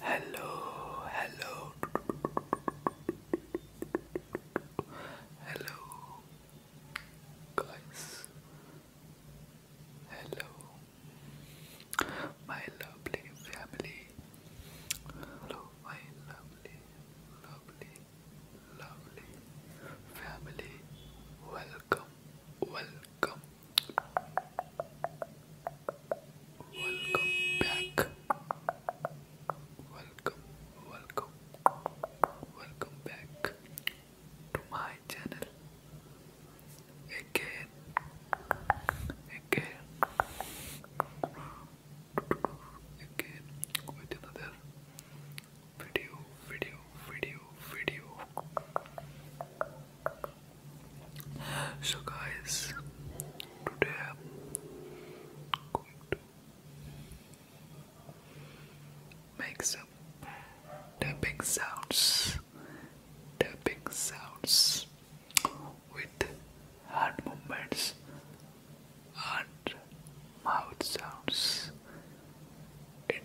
Hello, hello. Hello, guys. Hello, my lovely family. Hello, my lovely, lovely, lovely family. Welcome, welcome. Welcome back. Welcome, welcome, welcome back to my channel. Again, again, again another video, video, video, video. So, guys, today I'm going to make some tapping sounds, tapping sounds with hand movements and mouth sounds. It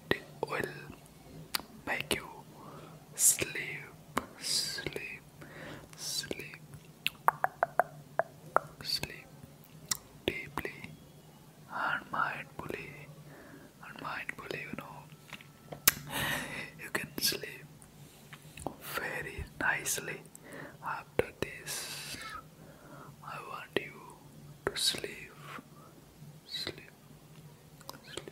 make you sleep, sleep, sleep, sleep deeply and mindfully, and mindfully, you know, you can sleep very nicely after this. I want you to sleep, sleep, sleep,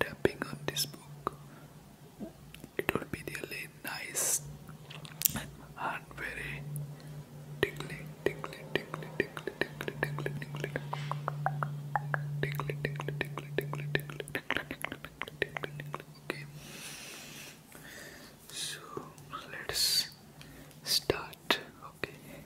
tapping on this book, it would be really nice and very tickly, tickly, tickly, tickly, tickly, tickly, tickly, tickly, tickly, tickly, tickly, tickly, tickly, okay. So let's start. Okay.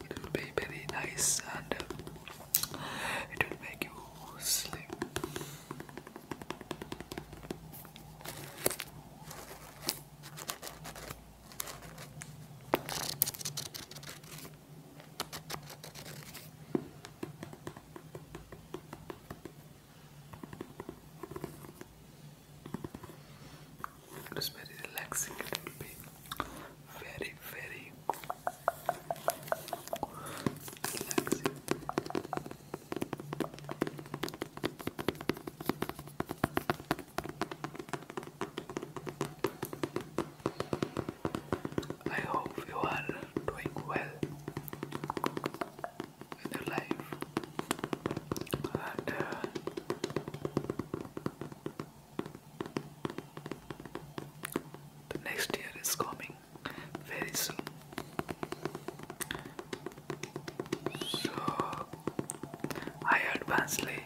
It will be very nice and it will make you sleep. It is very relaxing, it will very, very relaxing. I hope you are doing well in your life and uh, the next year is coming very soon. So I advancedly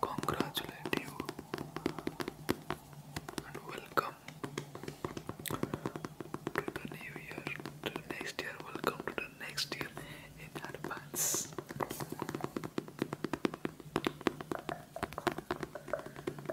congratulate you and welcome to the new year, to next year, welcome to the next year in advance.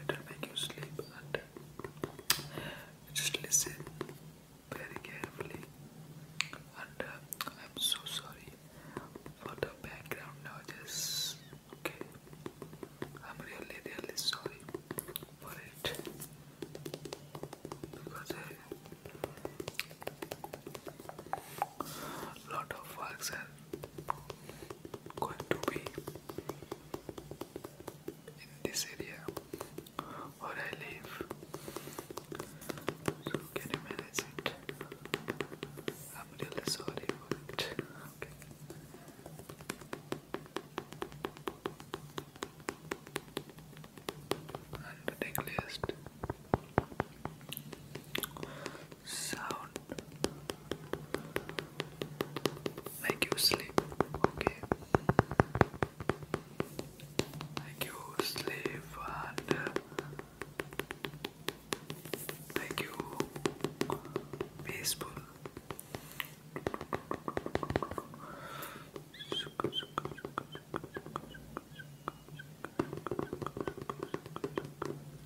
It will make you sleep just listen very carefully. And uh, I'm so sorry for the background noises. Okay, I'm really, really sorry for it because. Uh, lot of works are going to be in this area where I live. So can you manage it? I'm really sorry for Okay. And the sound make you sleep, okay? Make you sleep and uh, make you peaceful.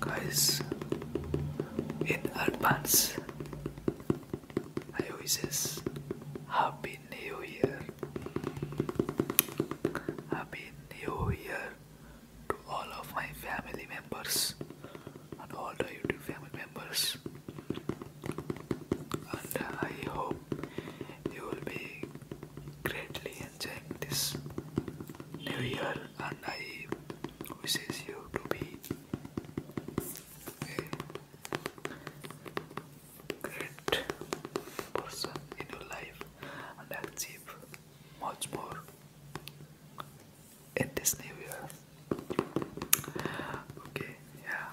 Guys, in advance, I wishes Happy New Year. Happy New Year to all of my family members and all the YouTube family members. And I hope you will be greatly enjoying this new year and I wishes you to be a great person in your life and achieve much more in this new year. Okay, yeah.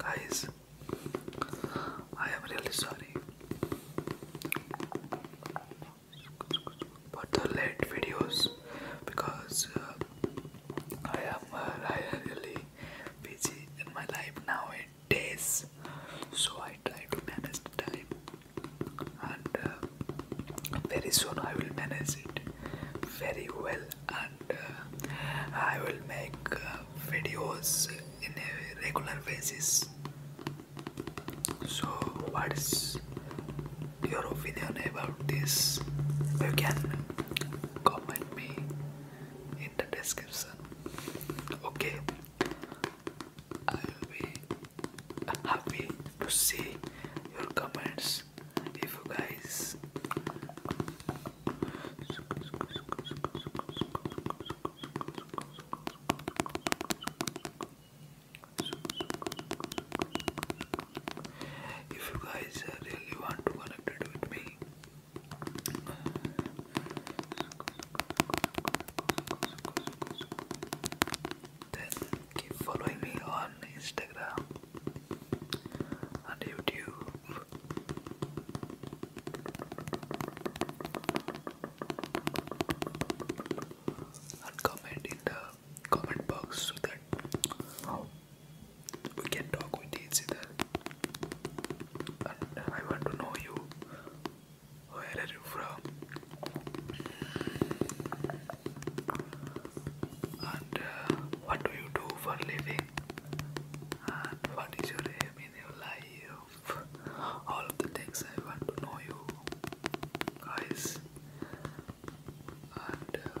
Guys, I am really sorry for the late videos because uh, uh, I am really busy in my life nowadays so I try to manage the time and uh, very soon I will manage it very well and I will make videos in a regular basis so, what's your opinion about this? You can comment me in the description. Okay, I will be happy to see your comments if you guys. If you guys uh, really want to connect it with me, then keep following me on Instagram and YouTube and comment in the comment box so that we can talk with each other. And uh, I want to know you. Where are you from? And uh, what do you do for living? And what is your aim in your life? all of the things I want to know you guys and uh,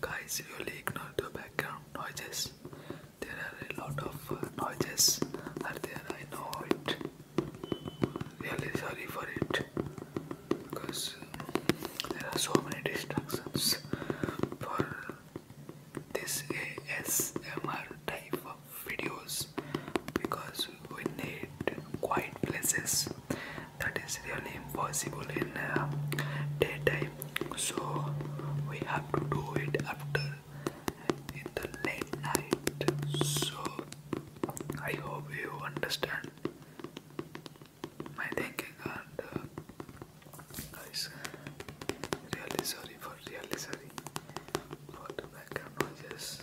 Guys, really ignore the background noises. There are a lot of uh, noises and I know it. Really sorry for it. Because uh, there are so many distractions for this ASMR type of videos because we need quiet places that is really impossible in uh, daytime so we have to do it after in the late night so I hope you understand my thinking and uh, guys really sorry for really sorry for the background noises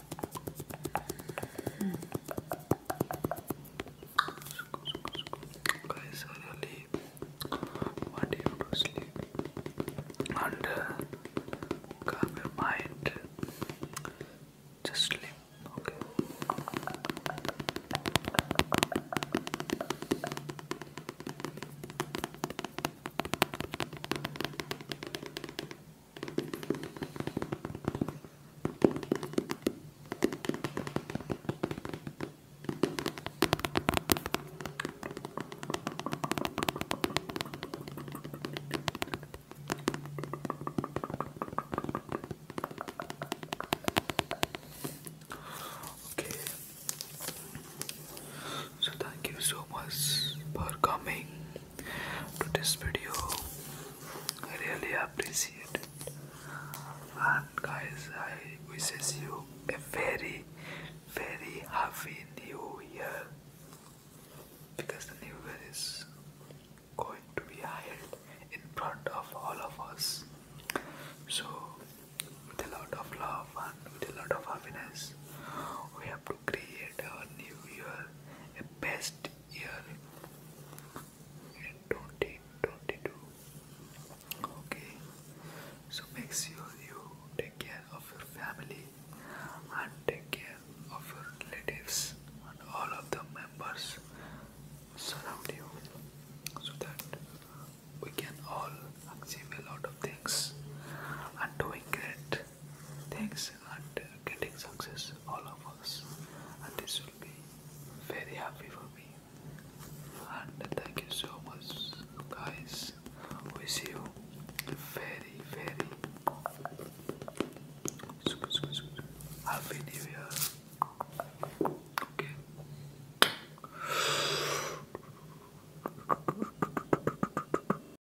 Guys, what do you to sleep? And calm your mind. Just sleep, okay? Okay. So thank you so much for coming to this video. I really appreciate And guys, I wish you a very, very happy new year because the new year is going to be held in front of all of us. So, with a lot of love and with a lot of happiness, we have to create our new year a best year in 2022. Okay, so make sure you take care of your family and take care of your relatives and all of the members surround you so that we can all achieve a lot of things and doing great things and uh, getting success, all of us, and this will be very happy for me. And thank you so much, guys. We see you very, very happy new year. Okay.